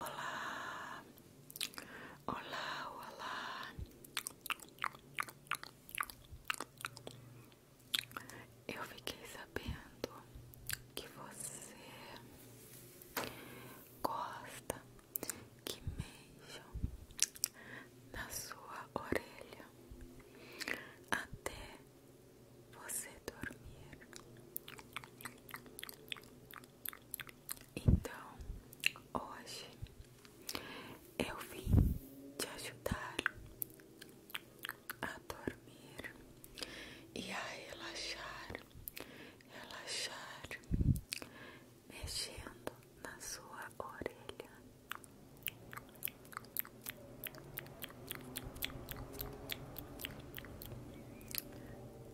Olá, olá, olá. Eu fiquei sabendo que você gosta que mexam na sua orelha até você dormir. Então, hoje eu vim te ajudar a dormir e a relaxar, relaxar, mexendo na sua orelha.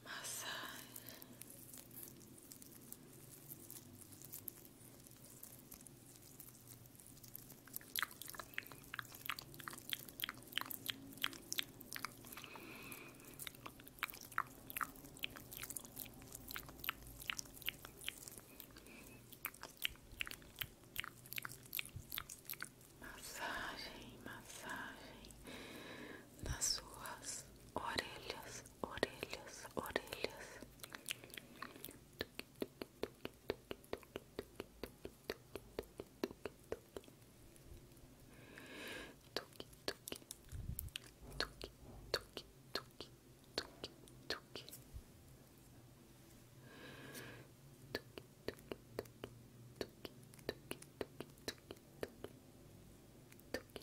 massagem, massagem, massagem nas suas orelhas, orelhas, orelhas. Tuque, tuque, tuque, tuque, tuque, tuque, tuque. Tuque, tuque, tuque, tuque, tuque, tuque, tuque, tuque,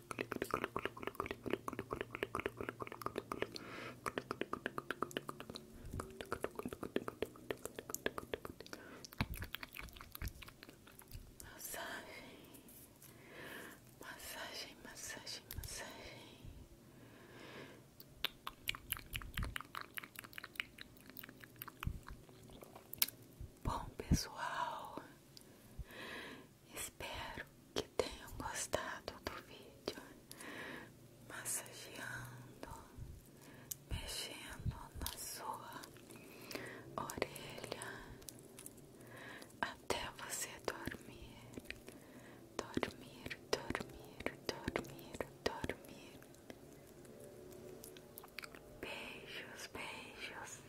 Massagem, massagem, massagem, massagem. Bom pessoal, Espero que tenham gostado do vídeo massageando, mexendo na sua orelha até você dormir, dormir, dormir, dormir, dormir. Beijos, beijos.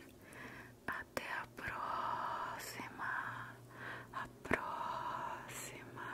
Até a próxima. A próxima.